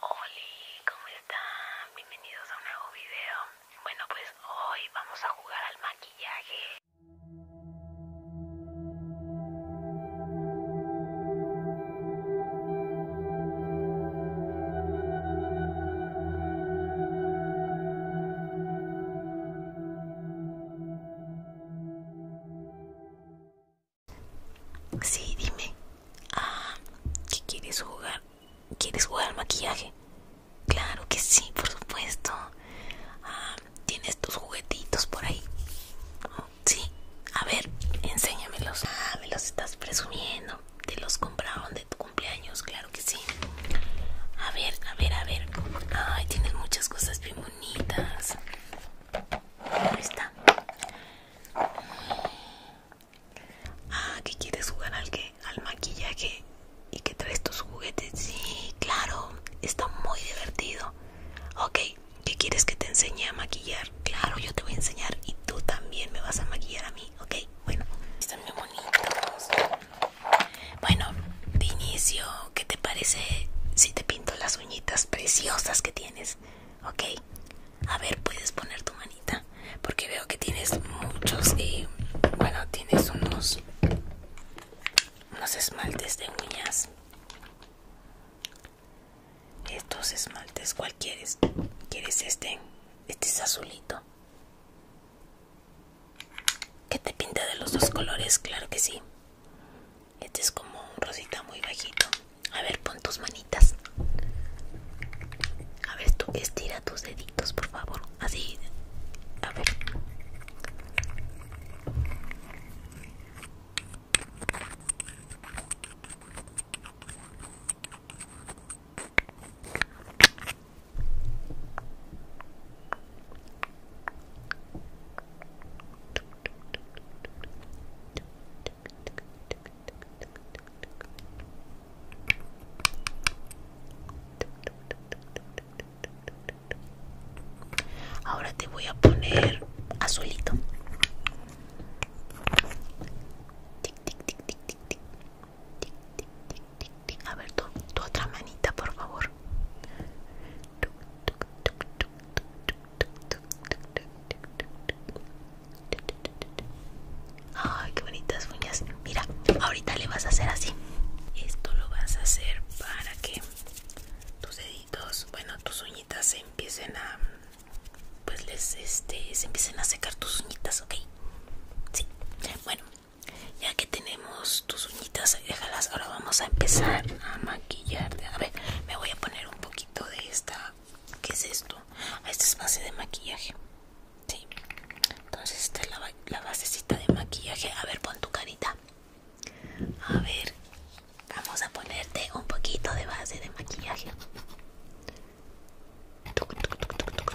Hola, ¿cómo están? Bienvenidos a un nuevo video. Bueno, pues hoy vamos a jugar al maquillaje. Sí, dime. Ah, ¿qué quieres jugar? ¿Quieres jugar al maquillaje? Claro que sí, por supuesto. Ah, ¿Tienes tus juguetitos por ahí? sí. A ver, enséñamelos. Ah, me los estás presumiendo. Te los compraron de tu cumpleaños, claro que sí. A ver, a ver, a ver. Ay, tienes muchas cosas bien bonitas. Ahí está. Ah, ¿qué quieres jugar al que al maquillaje y que traes tus juguetes. Sí, claro, está muy divertido. Ok, ¿qué quieres que te enseñe a maquillar? Claro, yo te voy a enseñar y tú también me vas a maquillar a mí, ok? Bueno, están muy bonitos. Bueno, de inicio, ¿qué te parece si te pinto las uñitas? preciosas que tienes. Ok, a ver, puedes poner tu manita. Porque veo que tienes muchos. y bueno, tienes unos. Unos esmaltes de uñas. Estos esmaltes, ¿cuál quieres? ¿Quieres este? Este es azulito. que te pinta de los dos colores? Claro que sí. Este es como un rosita muy bajito. A ver, pon tus manitas. A ver, tú estira tus deditos, por favor. Así. A ver. Ahora te voy a poner azulito. A ver, tu otra manita, por favor. Ay, qué bonitas uñas. Mira, ahorita le vas a hacer así. Esto lo vas a hacer para que tus deditos, bueno, tus uñitas se empiecen a pues les este se empiecen a secar tus uñitas, ¿ok? Sí. Bueno, ya que tenemos tus uñitas déjalas ahora vamos a empezar a maquillarte a ver me voy a poner un poquito de esta ¿qué es esto? Ah, esta es base de maquillaje sí entonces esta es la, la basecita de maquillaje a ver pon tu carita a ver vamos a ponerte un poquito de base de maquillaje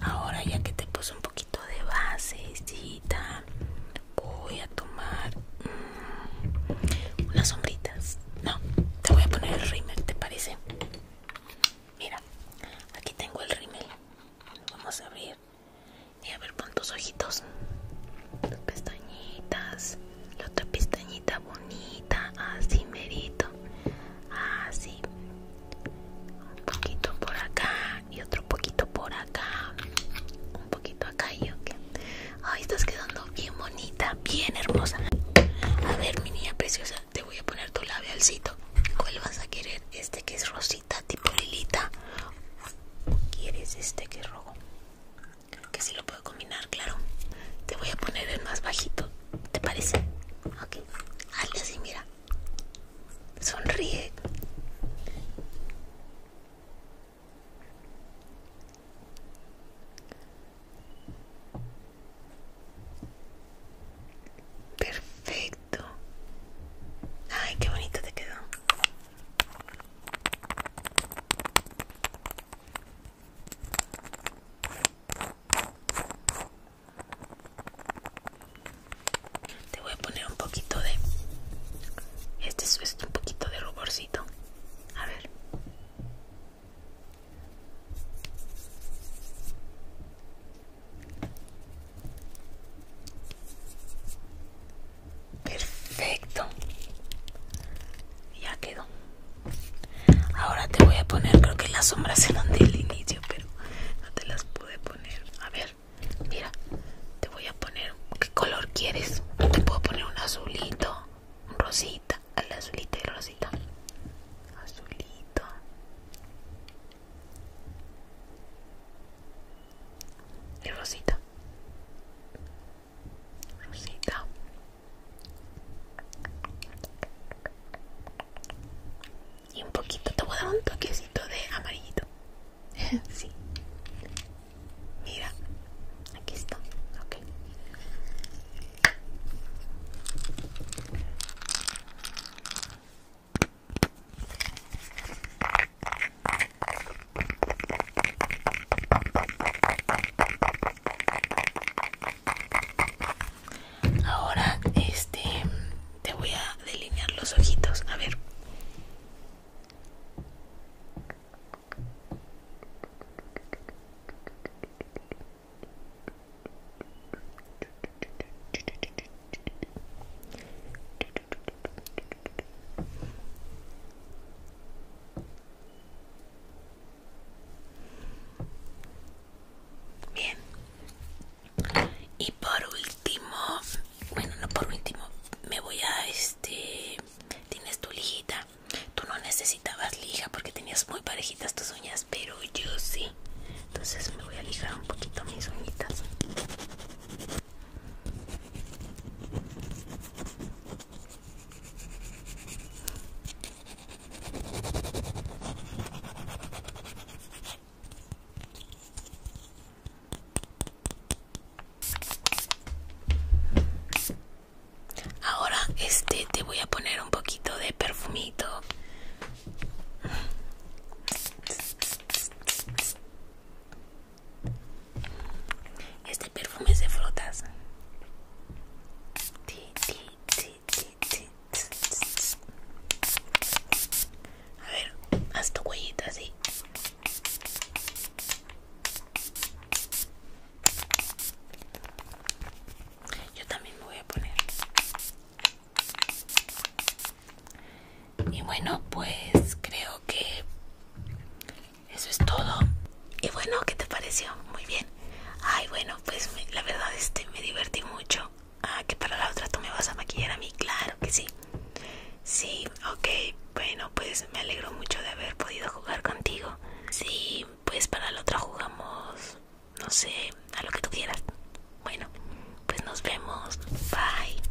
Ahora ya que te puse un poquito de base voy a tomar unas mm, sombritas. No, te voy a poner el rímel, ¿te parece? Mira, aquí tengo el rímel. vamos a abrir. Y a ver, pon tus ojitos. Tus pestañitas. La otra pestañita bonita. Así merito. Así. Un poquito por acá. Y otro poquito por acá. Un poquito acá y ok. Ahí estás quedando bien bonita. Bien hermosa. A ver, mi niña preciosa. Te voy a poner tu labialcito. ¿Cuál vas a querer? Este que es rosita tipo lilita quieres este que rojo? Creo Que si sí lo puedo combinar, claro Te voy a poner el más bajito ¿Te parece? Ok, hazle así, mira Sonríe Perfecto. Ay, qué bonito te quedó. Te voy a poner un poquito de... Este es, este un poquito de ruborcito. A ver. Perfecto. Ya quedó. Ahora te voy a poner, creo que las sombras se del inicio, pero no te las pude poner. A ver, mira, te voy a poner, ¿qué color quieres? Te puedo poner un azulito, un rosita. El azulito y el rosito Azulito. Y rosito rosito Y un poquito, te voy a dar un toquecito de amarillito. sí. Mira, aquí está, Ahora este te voy a delinear los ojitos, a ver. Bien. Y por último, bueno, no por último, me voy a este. Tienes tu lijita Tú no necesitabas lija porque tenías muy parejitas tus uñas, pero yo sí. Entonces me voy a lijar un poquito mis uñitas. Ahora este te voy a poner un poquito de perfumito. Este perfume es de flotas A ver, haz tu huellita así. Yo también me voy a poner. Y bueno, pues creo que eso es todo. Y bueno, ¿qué te pareció? Muy bien. Ay, bueno, pues la verdad este me divertí mucho. Ah, que para la otra tú me vas a maquillar a mí, claro que sí. Sí, ok. Bueno, pues me alegro mucho de haber podido jugar contigo. Sí, pues para la otra jugamos, no sé, a lo que tú quieras. Bueno, pues nos vemos. Bye.